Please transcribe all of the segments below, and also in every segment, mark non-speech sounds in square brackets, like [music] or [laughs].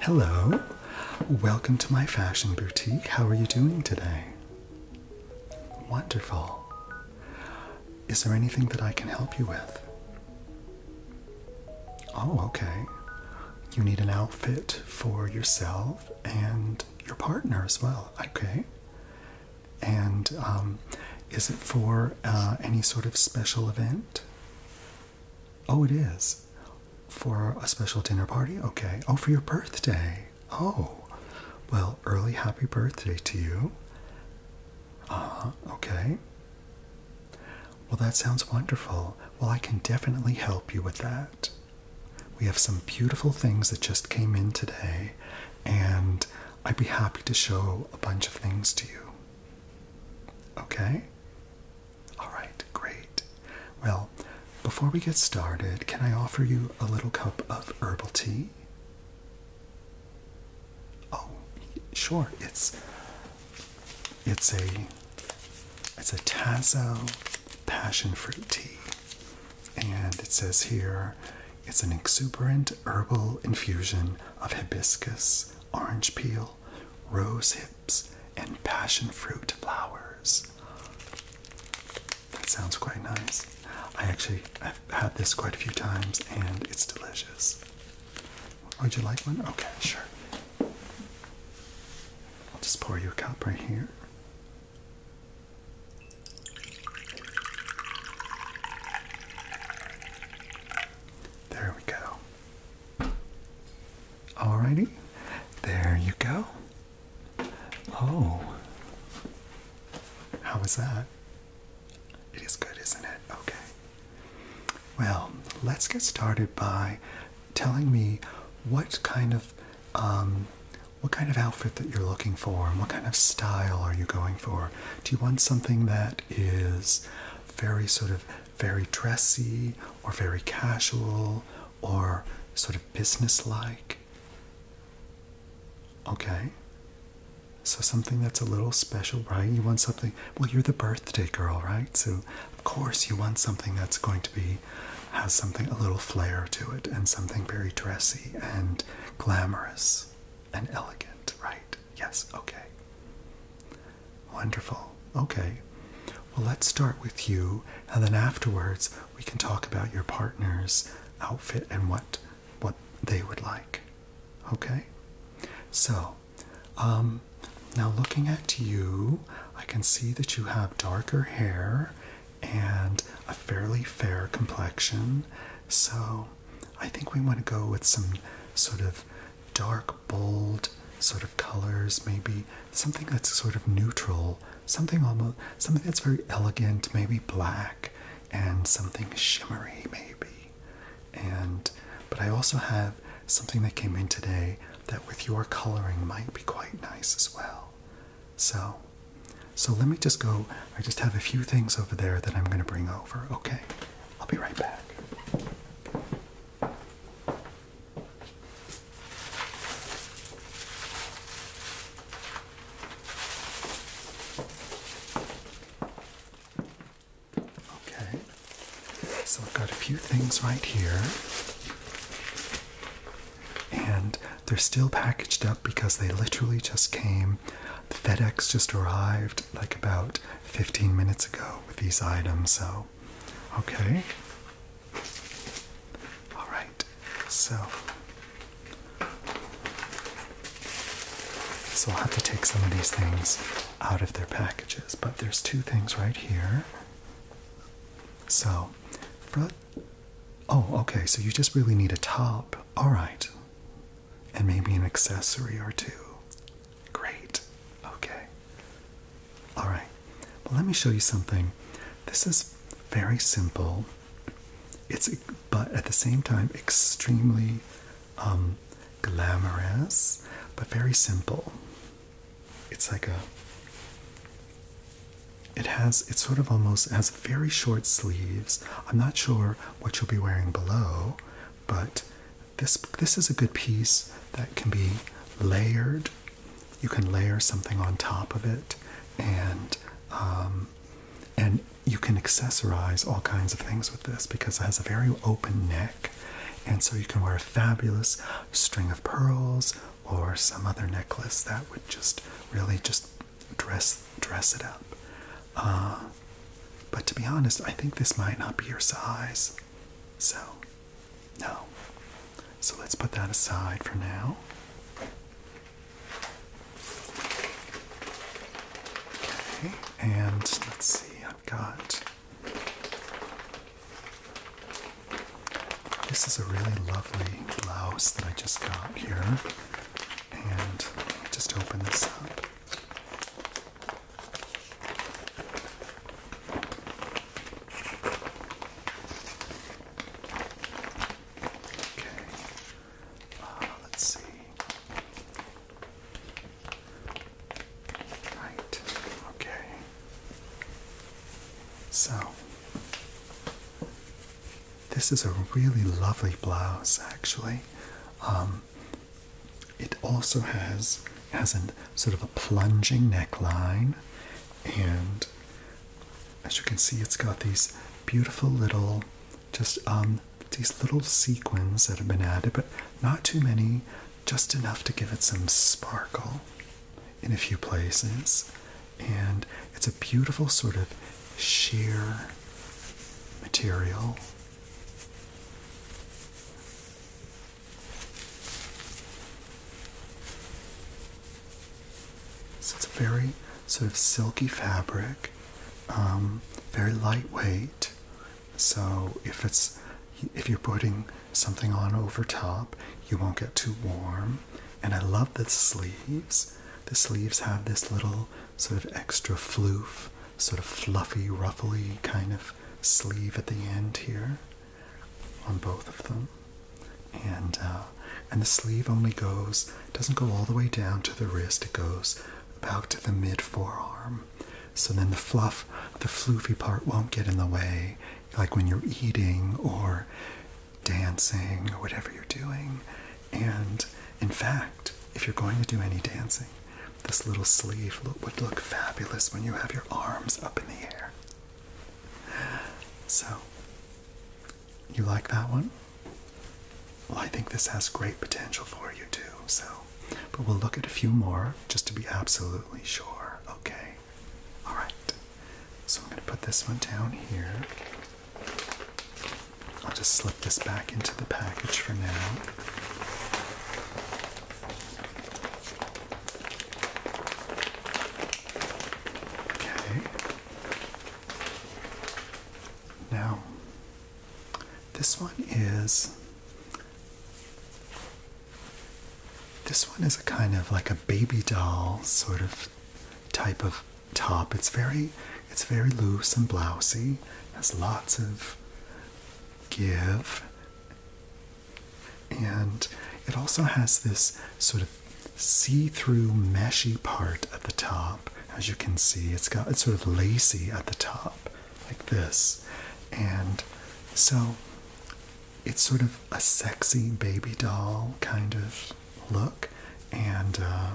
Hello, welcome to my fashion boutique. How are you doing today? Wonderful. Is there anything that I can help you with? Oh, okay. You need an outfit for yourself and your partner as well, okay? And um, is it for uh, any sort of special event? Oh, it is. For a special dinner party? Okay. Oh, for your birthday. Oh. Well, early happy birthday to you. Uh, okay. Well, that sounds wonderful. Well, I can definitely help you with that. We have some beautiful things that just came in today, and I'd be happy to show a bunch of things to you. Okay? Alright, great. Well, before we get started, can I offer you a little cup of herbal tea? Oh, sure. It's it's a it's a Tazo passion fruit tea. And it says here it's an exuberant herbal infusion of hibiscus, orange peel, rose hips, and passion fruit flowers. That sounds quite nice. I actually have had this quite a few times and it's delicious. Would you like one? Okay, sure. I'll just pour you a cup right here. There we go. Alrighty. There you go. Oh. How was that? It is good, isn't it? Okay. Well, let's get started by telling me what kind of um, what kind of outfit that you're looking for and what kind of style are you going for? Do you want something that is very sort of very dressy or very casual or sort of businesslike? Okay. So something that's a little special, right? You want something. Well, you're the birthday girl, right? So of course you want something that's going to be has something a little flair to it and something very dressy and glamorous and elegant, right? Yes, okay. Wonderful. Okay. Well, let's start with you, and then afterwards we can talk about your partner's outfit and what what they would like. Okay? So, um now looking at you, I can see that you have darker hair and a fairly fair complexion. So, I think we want to go with some sort of dark, bold sort of colors, maybe something that's sort of neutral, something almost something that's very elegant, maybe black, and something shimmery, maybe. And but I also have something that came in today that with your coloring might be quite nice as well. So so let me just go. I just have a few things over there that I'm going to bring over. Okay. I'll be right back. Okay. So I've got a few things right here. And they're still packaged up because they literally just came the FedEx just arrived like about 15 minutes ago with these items, so okay. All right, so. So I'll have to take some of these things out of their packages, but there's two things right here. So, Oh, okay, so you just really need a top. All right and maybe an accessory or two. Great. Okay. All right. Well, let me show you something. This is very simple. It's but at the same time extremely um, glamorous, but very simple. It's like a. It has. It sort of almost has very short sleeves. I'm not sure what you'll be wearing below, but this this is a good piece that can be layered. You can layer something on top of it, and um, and you can accessorize all kinds of things with this because it has a very open neck, and so you can wear a fabulous string of pearls or some other necklace that would just really just dress dress it up. Uh, but to be honest, I think this might not be your size. So, no. So let's put that aside for now. Okay, and let's see, I've got. This is a really lovely blouse that I just got here. And just open this up. Uh, let's see. Right. Okay. So this is a really lovely blouse, actually. Um, it also has has a sort of a plunging neckline, and as you can see, it's got these beautiful little, just um, these little sequins that have been added, but not too many, just enough to give it some sparkle in a few places. And it's a beautiful sort of sheer material so it's a very sort of silky fabric, um, very lightweight. So if it's if you're putting something on over top, you won't get too warm. And I love the sleeves. The sleeves have this little sort of extra fluff, sort of fluffy, ruffly kind of sleeve at the end here on both of them. And uh, and the sleeve only goes doesn't go all the way down to the wrist. It goes about to the mid forearm. So then the fluff, the floofy part won't get in the way, like when you're eating or dancing or whatever you're doing. And in fact, if you're going to do any dancing, this little sleeve would look fabulous when you have your arms up in the air. So, you like that one? Well, I think this has great potential for you too, so. But we'll look at a few more just to be absolutely sure, okay? Alright, so I'm going to put this one down here. I'll just slip this back into the package for now. Okay. Now, this one is. This one is a kind of like a baby doll sort of type of top. It's very it's very loose and blousy, has lots of give, and it also has this sort of see through meshy part at the top. As you can see, it's got it's sort of lacy at the top, like this. And so it's sort of a sexy baby doll kind of look, and uh,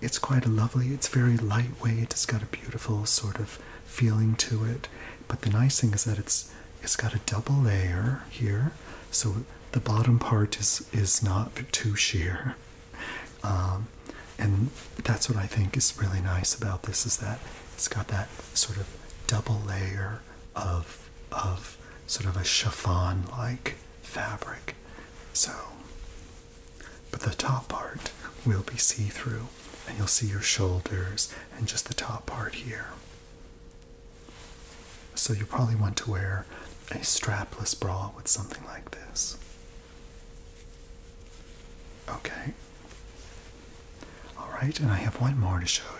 it's quite a lovely, it's very lightweight, it's got a beautiful sort of feeling to it. But the nice thing is that it's it's got a double layer here, so the bottom part is is not too sheer. Um, and that's what I think is really nice about this is that it's got that sort of double layer of of sort of a chiffon like fabric. So but the top part will be see through, and you'll see your shoulders and just the top part here. So you probably want to wear a strapless bra with something like this. Okay. All right, and I have one more to show you.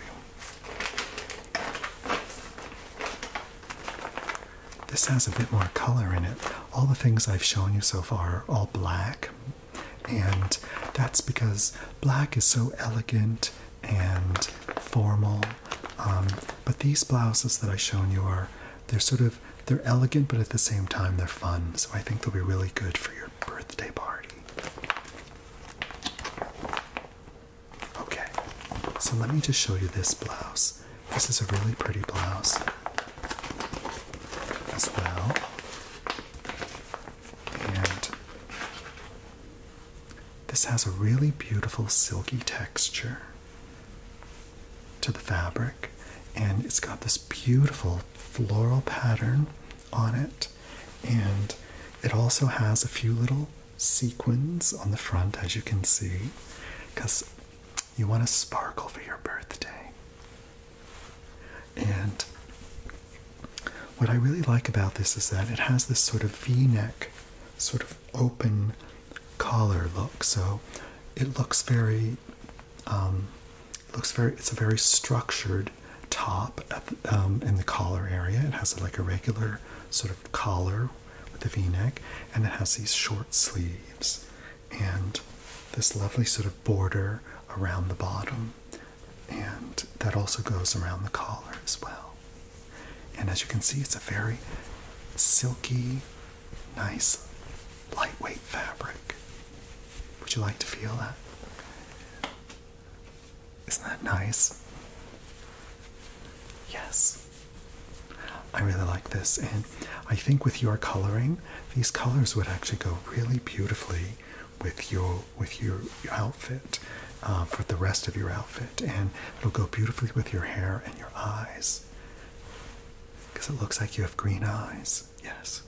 This has a bit more color in it. All the things I've shown you so far are all black, and that's because black is so elegant and formal. Um, but these blouses that I've shown you are they're sort of they're elegant, but at the same time they're fun. So I think they'll be really good for your birthday party. Okay, so let me just show you this blouse. This is a really pretty blouse as well. And this has a really beautiful silky texture to the fabric, and it's got this beautiful floral pattern on it, and it also has a few little sequins on the front, as you can see, because you want to sparkle for your birthday. And what I really like about this is that it has this sort of v neck, sort of open collar look. So it looks very, um, looks very, it's a very structured top at um, in the collar area. It has like a regular sort of collar with a v neck, and it has these short sleeves and this lovely sort of border around the bottom, and that also goes around the collar as well. And as you can see, it's a very silky, nice, lightweight fabric. Would you like to feel that? Isn't that nice? Yes. I really like this, and I think with your coloring, these colors would actually go really beautifully with your with your outfit, uh, for the rest of your outfit, and it'll go beautifully with your hair and your eyes, because it looks like you have green eyes. Yes.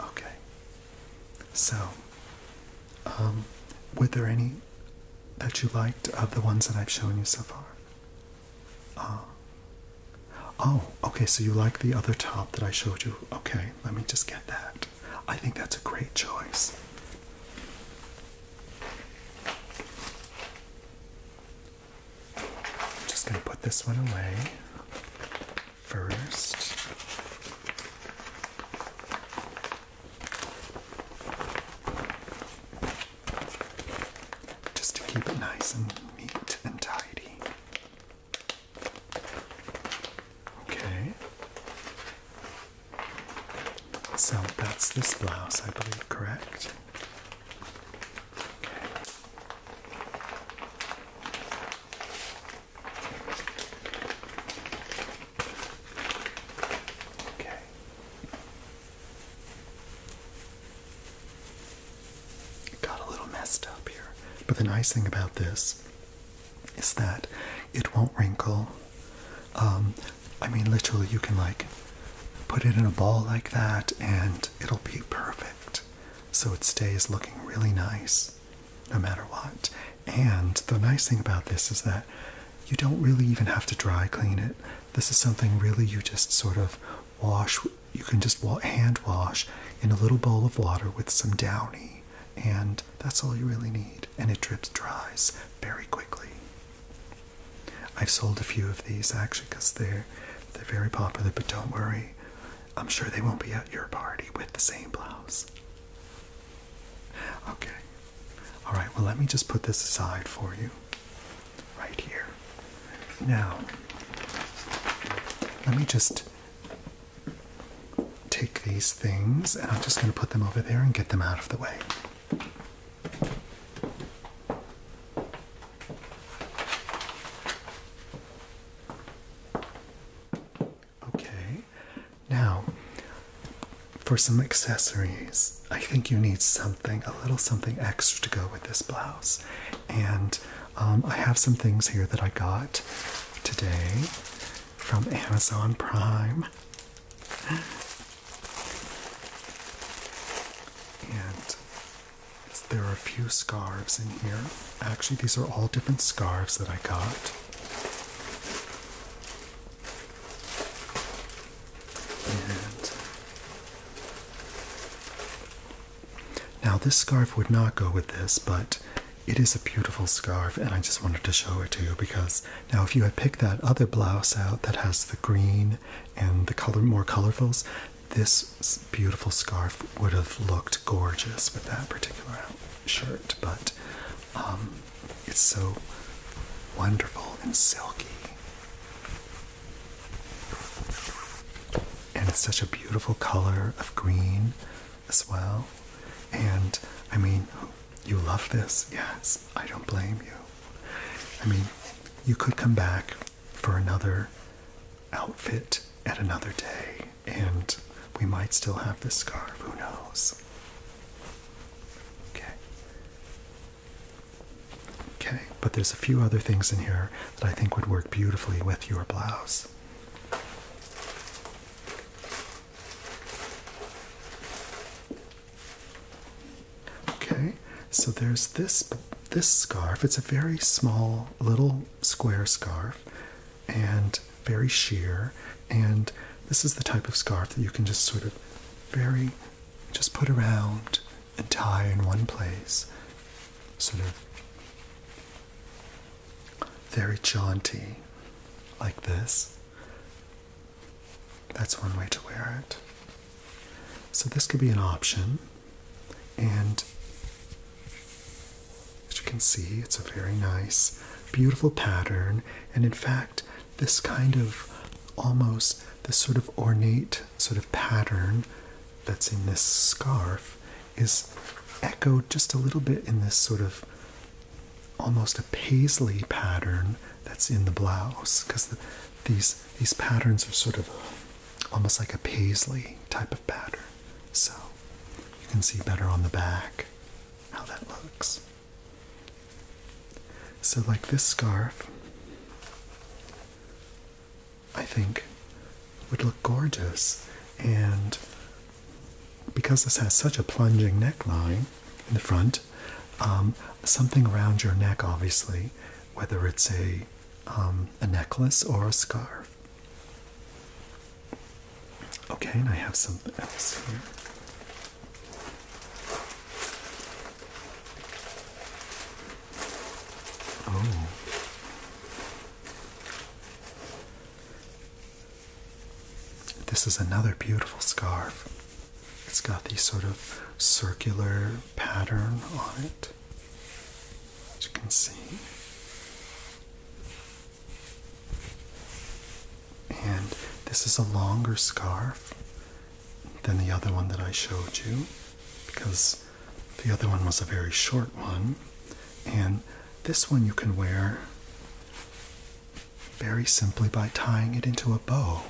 Okay. So, um, were there any that you liked of the ones that I've shown you so far? Uh, oh, okay, so you like the other top that I showed you. Okay, let me just get that. I think that's a great choice. I'm just going to put this one away first just to keep it nice and neat and tidy. Okay. So that's this blouse, I believe, correct? Okay. Okay. It got a little messed up here. But the nice thing about this is that it won't wrinkle. Um, I mean, literally, you can like put it in a ball like that and it'll be perfect. So it stays looking really nice no matter what. And the nice thing about this is that you don't really even have to dry clean it. This is something really you just sort of wash you can just hand wash in a little bowl of water with some downy and that's all you really need and it drips dries very quickly i've sold a few of these actually because they're they're very popular but don't worry i'm sure they won't be at your party with the same blouse okay all right well let me just put this aside for you right here. Now, let me just take these things and I'm just going to put them over there and get them out of the way. Okay, now for some accessories. I think you need something, a little something extra to go with this blouse. And um, I have some things here that I got today from Amazon Prime. And there are a few scarves in here. Actually, these are all different scarves that I got. And now this scarf would not go with this, but it is a beautiful scarf, and I just wanted to show it to you because now if you had picked that other blouse out that has the green and the color more colorfuls, this beautiful scarf would have looked gorgeous with that particular shirt, but um, it's so wonderful and silky. And it's such a beautiful color of green as well. And I mean, you love this. Yes, I don't blame you. I mean, you could come back for another outfit at another day, and we might still have this scarf. Who knows? Okay. Okay, but there's a few other things in here that I think would work beautifully with your blouse. Okay, so there's this this scarf. It's a very small little square scarf and very sheer and this is the type of scarf that you can just sort of very just put around and tie in one place. Sort of very jaunty, like this. That's one way to wear it. So, this could be an option, and as you can see, it's a very nice, beautiful pattern. And in fact, this kind of almost this sort of ornate sort of pattern that's in this scarf is echoed just a little bit in this sort of almost a paisley pattern that's in the blouse because these these patterns are sort of almost like a paisley type of pattern so you can see better on the back how that looks so like this scarf I think would look gorgeous. And because this has such a plunging neckline in the front, um, something around your neck, obviously, whether it's a um, a necklace or a scarf. Okay, and I have something else here. Oh. This is another beautiful scarf. It's got the sort of circular pattern on it, as you can see. And this is a longer scarf than the other one that I showed you because the other one was a very short one. And this one you can wear very simply by tying it into a bow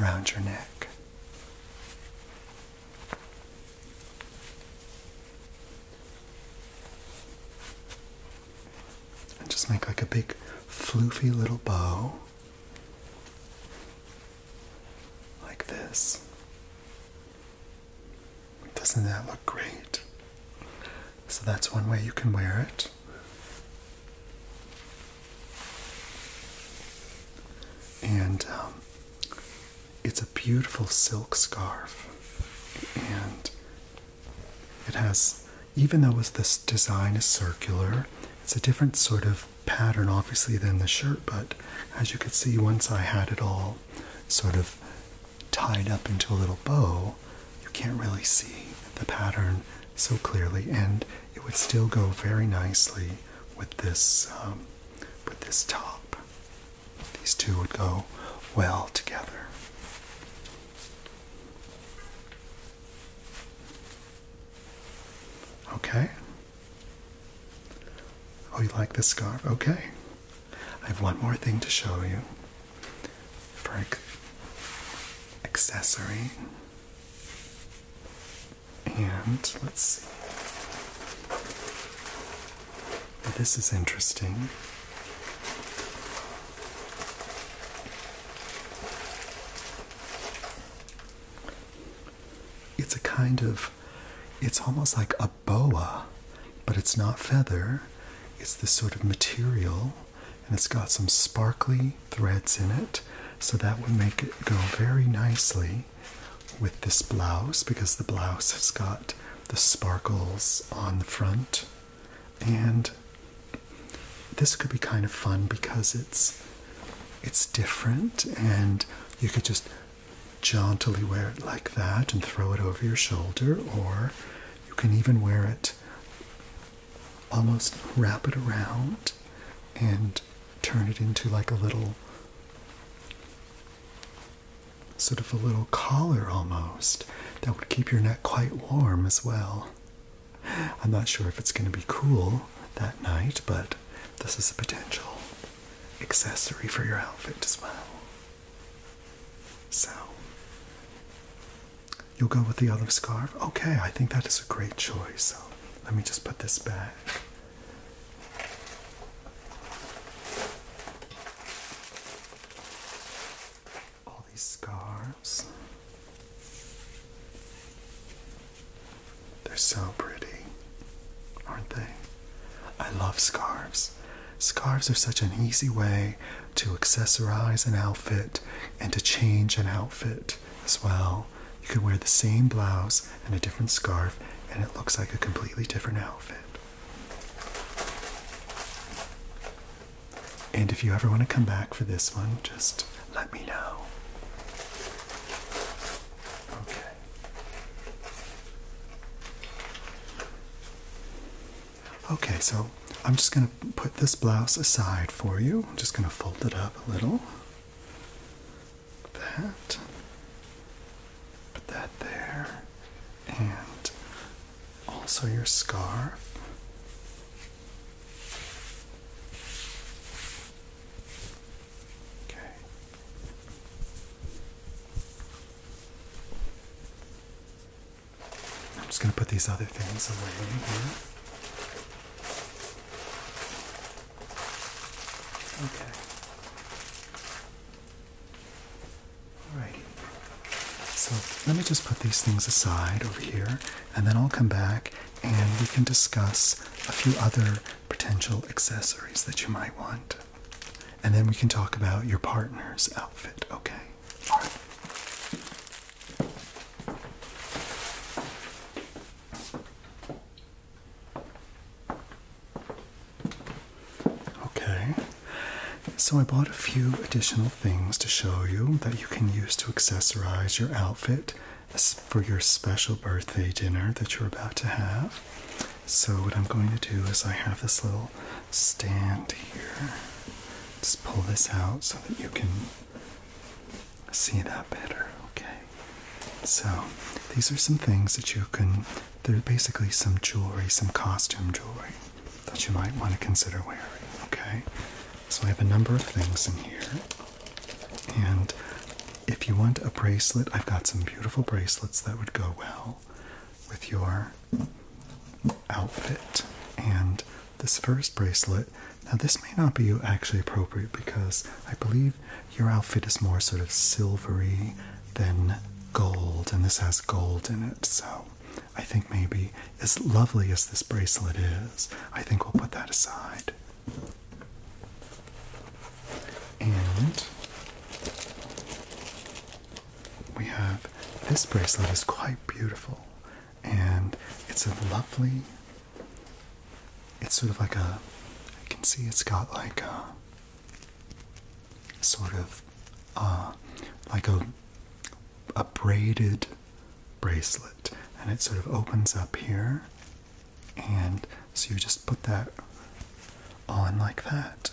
around your neck. And just make like a big floofy little bow like this. Doesn't that look great? So that's one way you can wear it. And um, it's a beautiful silk scarf. And it has, even though this design is circular, it's a different sort of pattern obviously than the shirt, but as you can see, once I had it all sort of tied up into a little bow, you can't really see the pattern so clearly, and it would still go very nicely with this um, with this top. These two would go well together. Okay, Oh, you like this scarf? Okay. I have one more thing to show you Frank. accessory. And let's see. This is interesting. It's a kind of, it's almost like a boa, but it's not feather. It's this sort of material, and it's got some sparkly threads in it. So that would make it go very nicely with this blouse because the blouse has got the sparkles on the front. And this could be kind of fun because it's it's different, and you could just jauntily wear it like that and throw it over your shoulder, or you can even wear it almost wrap it around and turn it into like a little sort of a little collar almost that would keep your neck quite warm as well. I'm not sure if it's going to be cool that night, but this is a potential accessory for your outfit as well. So, you'll go with the olive scarf? Okay, I think that is a great choice. So, let me just put this back. All these scarves. They're so pretty, aren't they? I love scarves. Scarves are such an easy way to accessorize an outfit and to change an outfit as well. You can wear the same blouse and a different scarf, and it looks like a completely different outfit. And if you ever want to come back for this one, just let me know. Okay. Okay, so I'm just going to put this blouse aside for you. I'm just going to fold it up a little. Like that. Put that there. And also your scarf. Okay. I'm just going to put these other things away here. Okay. Alrighty. So let me just put these things aside over here, and then I'll come back and we can discuss a few other potential accessories that you might want. And then we can talk about your partner's outfit, okay? Okay, so I bought a few additional things to show you that you can use to accessorize your outfit for your special birthday dinner that you're about to have. So, what I'm going to do is, I have this little stand here. Just pull this out so that you can see that better, okay? So, these are some things that you can, they're basically some jewelry, some costume jewelry that you might want to consider wearing, okay? So, I have a number of things in here. And if you want a bracelet, I've got some beautiful bracelets that would go well with your outfit. And this first bracelet, now this may not be actually appropriate because I believe your outfit is more sort of silvery than gold, and this has gold in it, so I think maybe as lovely as this bracelet is, I think we'll put that aside. And we have this bracelet is quite beautiful and it's a lovely it's sort of like a I can see it's got like a sort of uh like a a braided bracelet and it sort of opens up here and so you just put that on like that.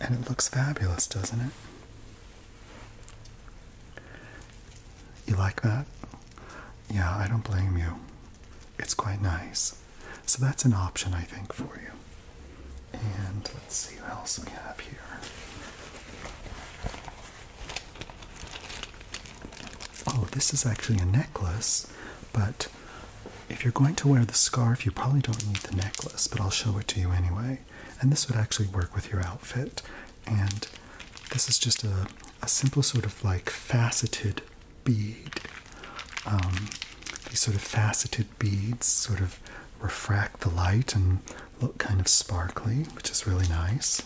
And it looks fabulous, doesn't it? You like that? Yeah, I don't blame you. It's quite nice. So that's an option, I think, for you. And let's see what else we have here. Oh, this is actually a necklace, but if you're going to wear the scarf, you probably don't need the necklace, but I'll show it to you anyway. And this would actually work with your outfit. And this is just a, simple sort of like faceted bead. Um, these sort of faceted beads sort of refract the light and look kind of sparkly, which is really nice.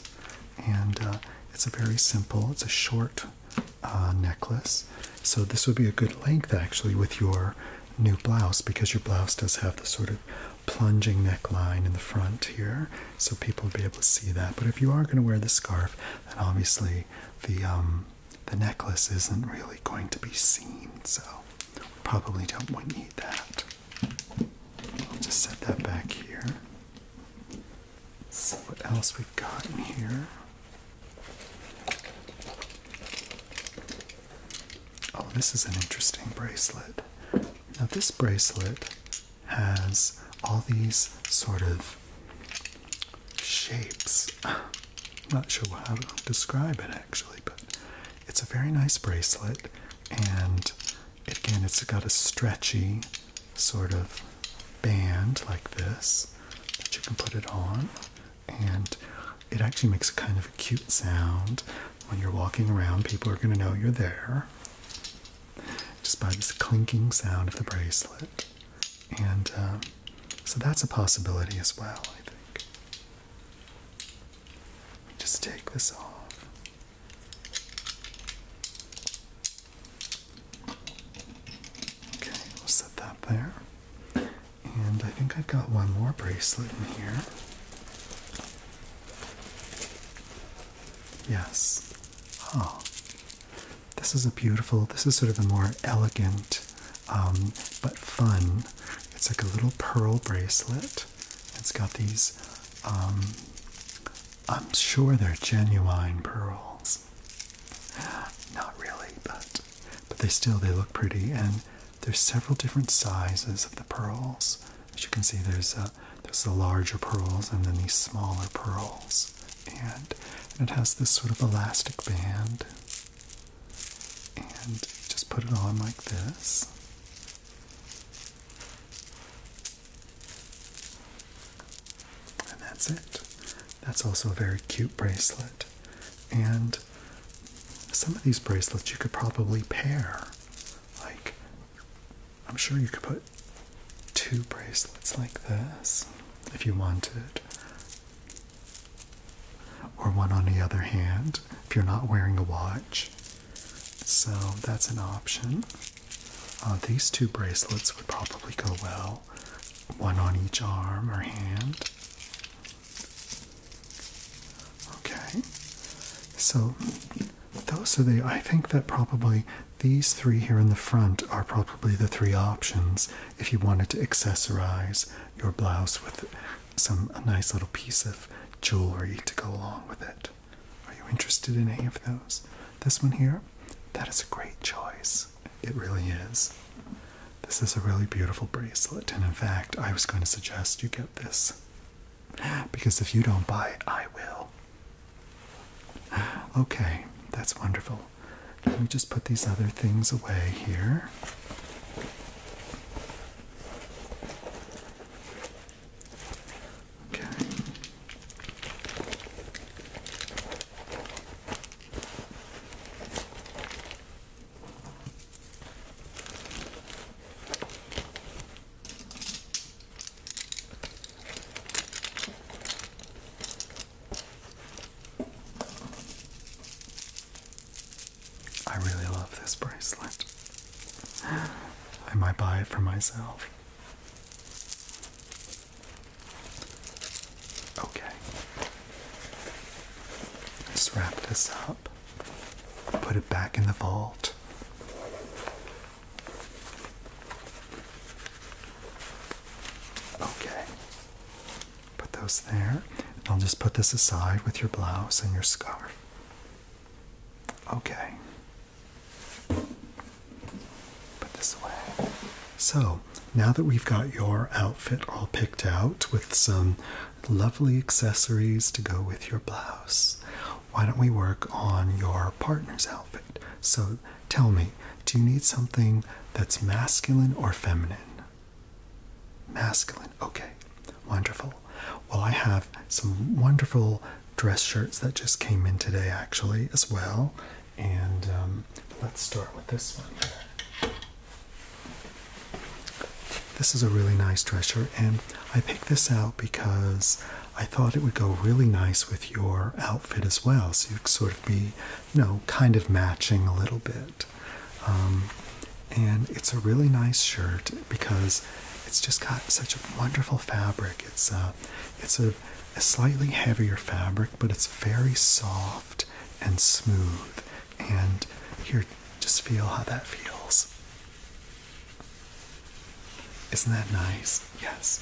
And uh, it's a very simple, it's a short uh, necklace. So this would be a good length actually with your new blouse because your blouse does have the sort of plunging neckline in the front here, so people would be able to see that. But if you are going to wear the scarf, then obviously the um, the necklace isn't really going to be seen, so probably don't need that. I'll just set that back here. So what else we've got in here. Oh, this is an interesting bracelet. Now, this bracelet has all these sort of shapes. I'm not sure how to describe it actually, but it's a very nice bracelet, and again, it's got a stretchy sort of band like this that you can put it on, and it actually makes a kind of a cute sound when you're walking around. People are going to know you're there just by this clinking sound of the bracelet, and um, so that's a possibility as well. I think. Just take this off. Okay, we'll set that there. And I think I've got one more bracelet in here. Yes. Oh. This is a beautiful, this is sort of a more elegant um, but fun. It's like a little pearl bracelet. It's got these um, I'm sure they're genuine pearls. Not really, but but they still they look pretty and there's several different sizes of the pearls. As you can see there's a, uh, there's the larger pearls and then these smaller pearls. And, it has this sort of elastic band. And just put it on like this. And that's it. That's also a very cute bracelet. And some of these bracelets you could probably pair. Like, I'm sure you could put two bracelets like this if you wanted. Or one on the other hand if you're not wearing a watch. So that's an option. Uh, these two bracelets would probably go well, one on each arm or hand. Okay, so those are the. I think that probably these three here in the front are probably the three options if you wanted to accessorize your blouse with some a nice little piece of jewelry to go along with it. Are you interested in any of those? This one here? that is a great choice. It really is. This is a really beautiful bracelet, and in fact, I was going to suggest you get this because if you don't buy it, I will. Okay, that's wonderful. Let me just put these other things away here. Okay. I really love this bracelet. I might buy it for myself. Okay. Let's wrap this up. Put it back in the vault. Okay. Put those there. I'll just put this aside with your blouse and your scarf. Okay. So, now that we've got your outfit all picked out with some lovely accessories to go with your blouse, why don't we work on your partner's outfit? So, tell me, do you need something that's masculine or feminine? Masculine, okay, wonderful. Well, I have some wonderful dress shirts that just came in today, actually, as well. And um, let's start with this one This is a really nice dress shirt, and I picked this out because I thought it would go really nice with your outfit as well. So you could sort of be, you know, kind of matching a little bit. Um, and it's a really nice shirt because it's just got such a wonderful fabric. It's a, uh, it's a a slightly heavier fabric, but it's very soft and smooth. And here, just feel how that feels. Isn't that nice? Yes.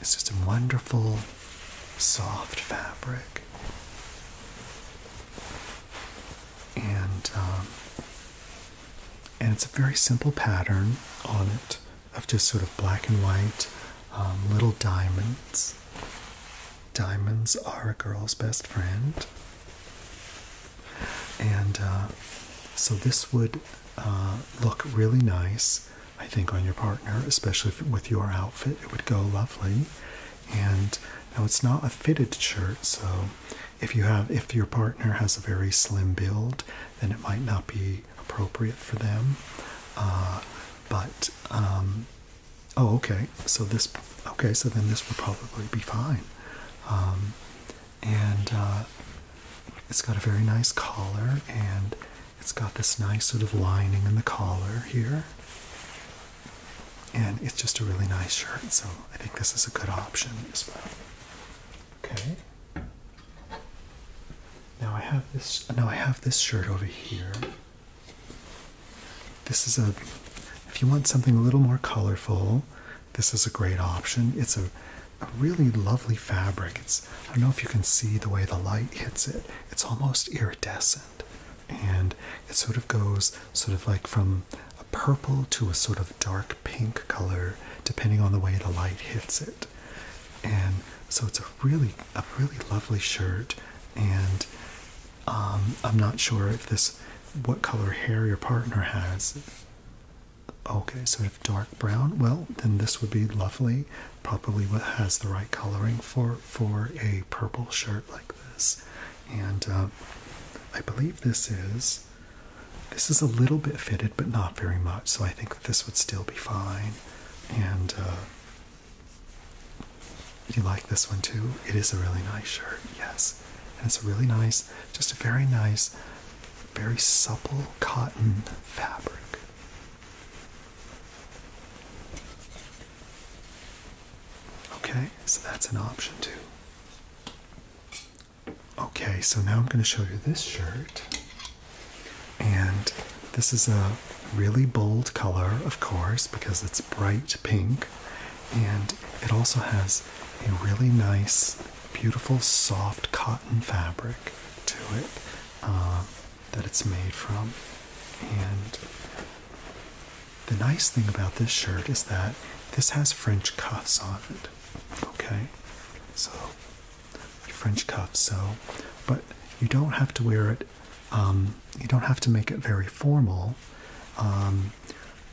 It's just a wonderful, soft fabric. And, um, and it's a very simple pattern on it of just sort of black and white um, little diamonds. Diamonds are a girl's best friend. And uh, so this would uh, look really nice, I think, on your partner, especially with your outfit. It would go lovely. And now it's not a fitted shirt, so if you have if your partner has a very slim build, then it might not be appropriate for them. Uh, but um, oh, okay. So this okay. So then this will probably be fine. Um, and uh, it's got a very nice collar, and it's got this nice sort of lining in the collar here. And it's just a really nice shirt, so I think this is a good option as well. Okay. Now I have this. Now I have this shirt over here. This is a. If you want something a little more colorful, this is a great option. It's a, a really lovely fabric. It's. I don't know if you can see the way the light hits it. It's almost iridescent, and it sort of goes sort of like from a purple to a sort of dark pink color, depending on the way the light hits it. And so it's a really a really lovely shirt and um, I'm not sure if this what color hair your partner has. Okay, so if dark brown. Well, then this would be lovely. Probably what has the right coloring for for a purple shirt like this. And um, I believe this is this is a little bit fitted, but not very much. So I think this would still be fine. And uh, you like this one too? It is a really nice shirt, yes. And it's a really nice, just a very nice, very supple cotton fabric. Okay, so that's an option too. Okay, so now I'm going to show you this shirt. And this is a really bold color, of course, because it's bright pink. And it also has a really nice, beautiful, soft cotton fabric to it uh, that it's made from. And the nice thing about this shirt is that this has French cuffs on it. Okay? So French cuff, so but you don't have to wear it. Um, you don't have to make it very formal. Um,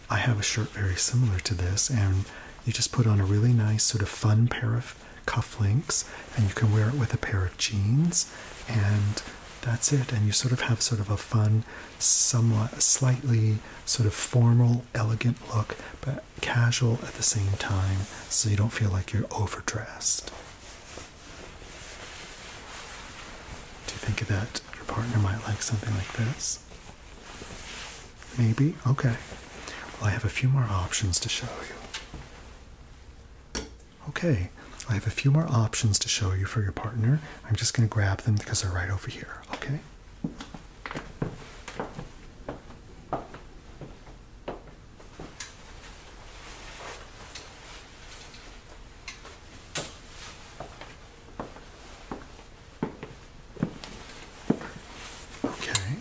I have a shirt very similar to this, and you just put on a really nice, sort of fun pair of cufflinks, and you can wear it with a pair of jeans, and that's it. And you sort of have sort of a fun, somewhat slightly sort of formal, elegant look, but casual at the same time so you don't feel like you're overdressed. Do you think that your partner might like something like this? Maybe? Okay. Well, I have a few more options to show you. Okay, I have a few more options to show you for your partner. I'm just going to grab them because they're right over here, okay? Okay.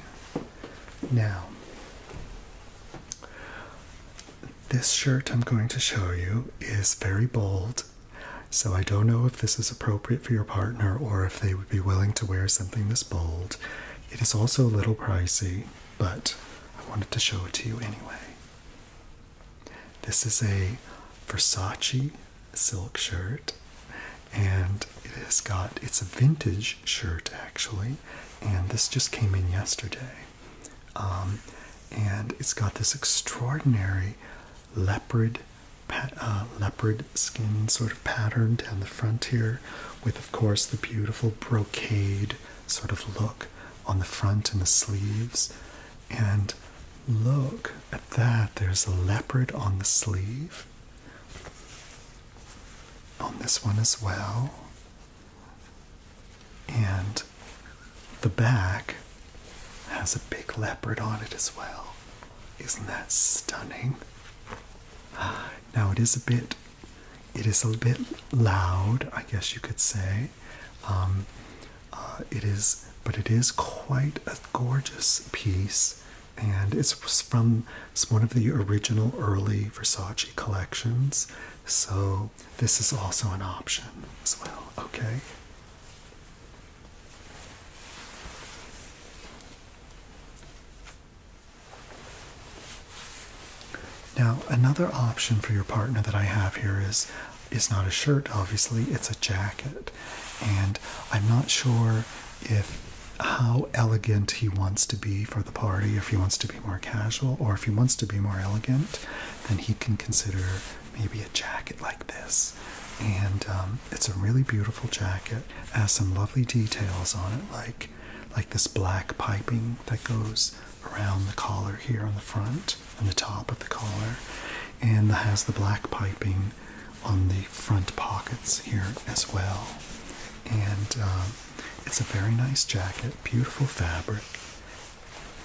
Now, this shirt I'm going to show you is very bold, so I don't know if this is appropriate for your partner or if they would be willing to wear something this bold. It is also a little pricey, but I wanted to show it to you anyway. This is a Versace silk shirt, and it has got it's a vintage shirt actually, and this just came in yesterday. Um, and it's got this extraordinary leopard, uh, leopard skin sort of pattern down the front here, with of course the beautiful brocade sort of look on the front and the sleeves. And look at that, there's a leopard on the sleeve. On this one as well. And the back has a big leopard on it as well. Isn't that stunning? [sighs] Now it is a bit it is a bit loud, I guess you could say. Um, uh, it is, but it is quite a gorgeous piece, and it's from one of the original early Versace collections. So this is also an option as well. Okay. Now, another option for your partner that I have here is is not a shirt, obviously, it's a jacket. And I'm not sure if how elegant he wants to be for the party, if he wants to be more casual or if he wants to be more elegant, then he can consider maybe a jacket like this. And um, it's a really beautiful jacket, has some lovely details on it, like like this black piping that goes around the collar here on the front, on the top of the collar, and has the black piping on the front pockets here as well. And um, it's a very nice jacket, beautiful fabric,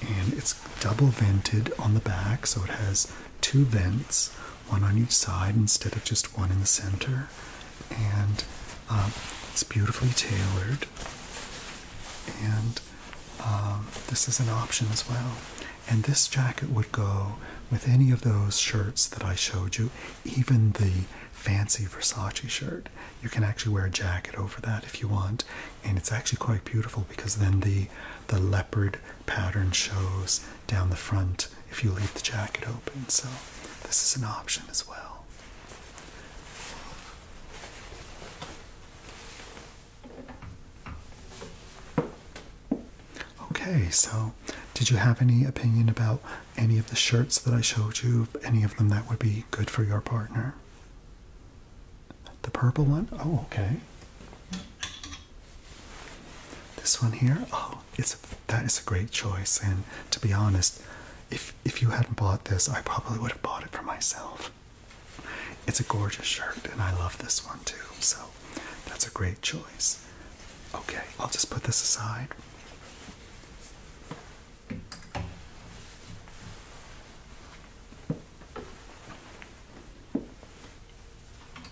and it's double vented on the back, so it has two vents, one on each side instead of just one in the center and um, it's beautifully tailored. And um, this is an option as well. And this jacket would go with any of those shirts that I showed you, even the fancy Versace shirt. You can actually wear a jacket over that if you want, and it's actually quite beautiful because then the the leopard pattern shows down the front if you leave the jacket open. So this is an option as well. Okay, so did you have any opinion about any of the shirts that I showed you? Any of them that would be good for your partner? The purple one? Oh, okay. This one here? Oh, it's that is a great choice. And to be honest, if if you hadn't bought this, I probably would have bought it for myself. It's a gorgeous shirt, and I love this one too. So that's a great choice. Okay, I'll just put this aside.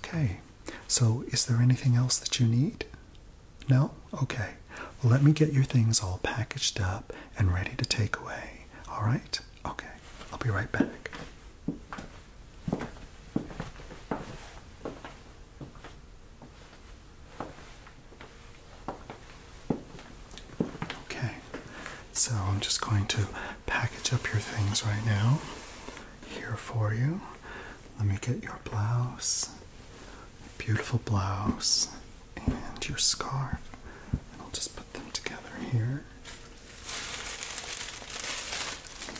Okay, so is there anything else that you need? No? Okay. let me get your things all packaged up and ready to take away. All right? Okay. I'll be right back. Okay. So I'm just going to package up your things right now here for you. Let me get your blouse, beautiful blouse, and your scarf. And I'll just put them together here.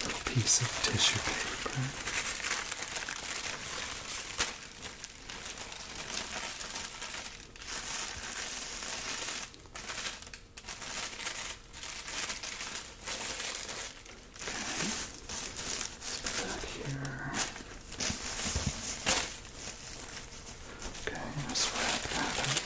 little piece of tissue paper let's put that here. Okay, let's wrap that up. Okay,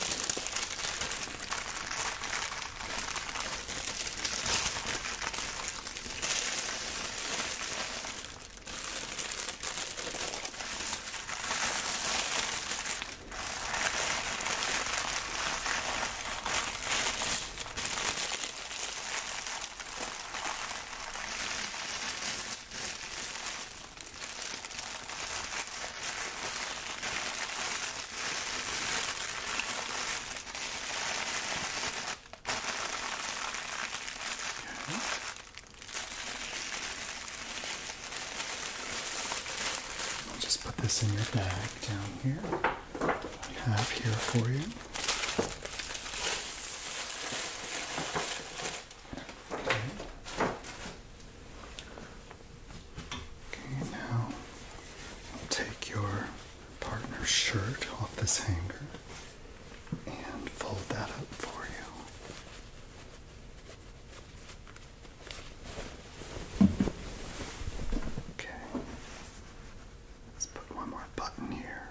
I'll just put this in your bag down here. I have here for you. Okay, now take your partner's shirt off this hanger and fold that up for you. Okay. Let's put one more button here.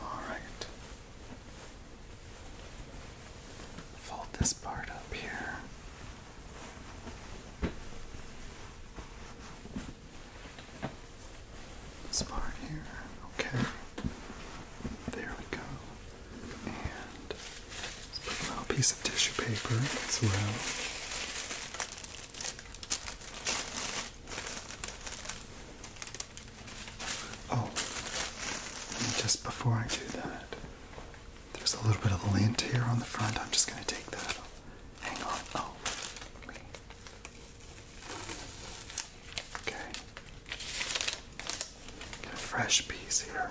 All right. Fold this part up here. This part here. Okay. There we go. And put a little piece of tissue paper as well. Oh, just before I do that, there's a little bit of lint here on the front. I'm just going to take that. Hang on. Oh, Okay. Got a fresh piece here.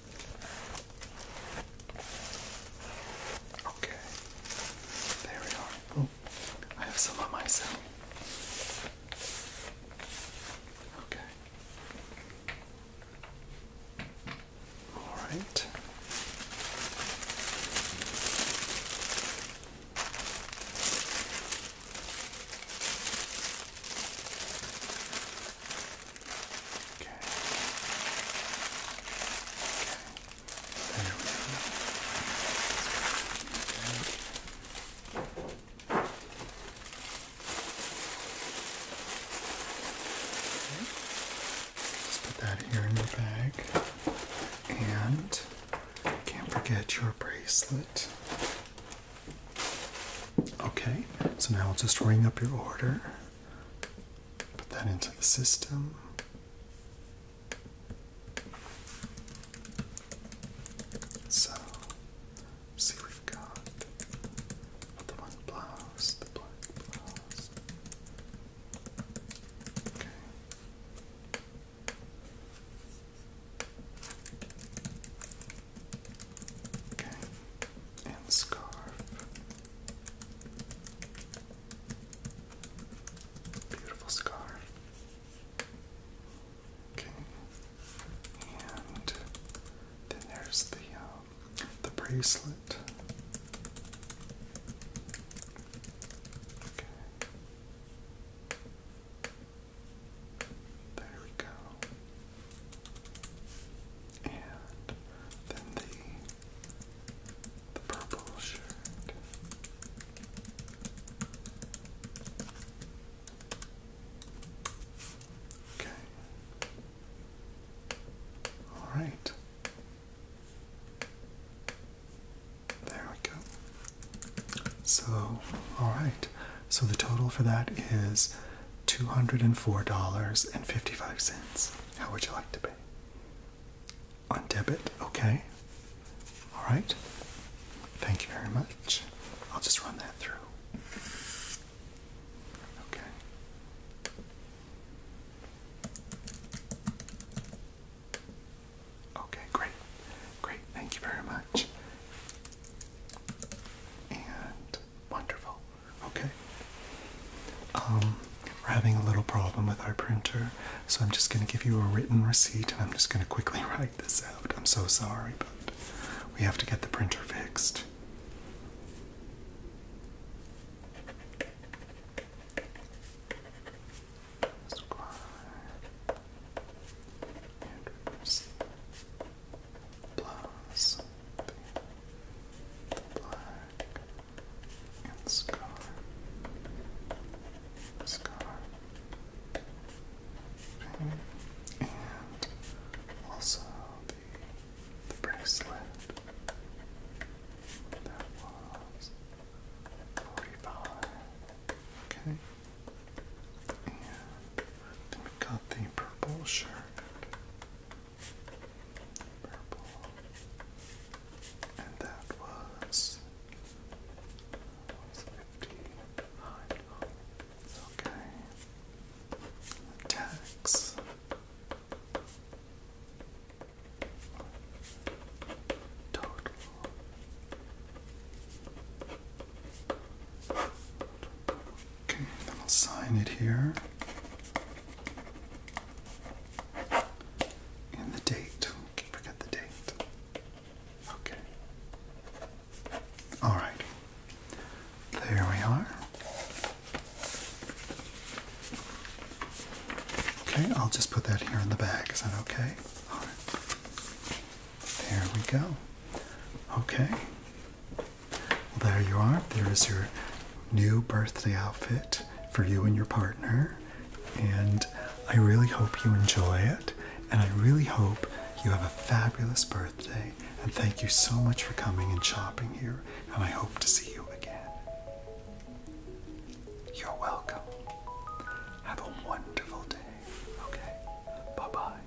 Okay, there we are. Oh, I have some on myself. Okay. All right. Okay. put that here in the bag. And can't forget your bracelet. Okay, so now I'll just ring up your order. Put that into the system. So, see, we got the white blouse, the black blouse. Okay. Okay and scarf. Beautiful scarf. Okay, and then there's the um, the bracelet. Okay. There we go. And then the, the purple shirt. Okay. All right. There we go. So, all right. So the total for that is $204.55. How would you like to pay? On debit, okay. All right. Thank you very much. I'll just run that through. Okay. Okay, great. Great. Thank you very much. And Wonderful. Okay. Um, we're having a little problem with our printer, so I'm just going to give you a written receipt and I'm just going to quickly [laughs] write this out. I'm so sorry, but we have to get the printer fixed plus black and scar, scar, and also the bracelet that was 45, okay, and then we got the purple shirt purple, and that was, was Okay. Attacks. Total. Okay, I'll sign it here. And the date. forget the date. Okay. All right. There we are. Okay, I'll just put that here in the bag. Is that okay? All right. There we go. Okay. Well, there you are. There is your new birthday outfit for you and your partner. And I really hope you enjoy it. And I really hope you have a fabulous birthday. And thank you so much for coming and shopping here. And I hope to see you again. You're welcome. Have a wonderful day. Okay. Bye bye.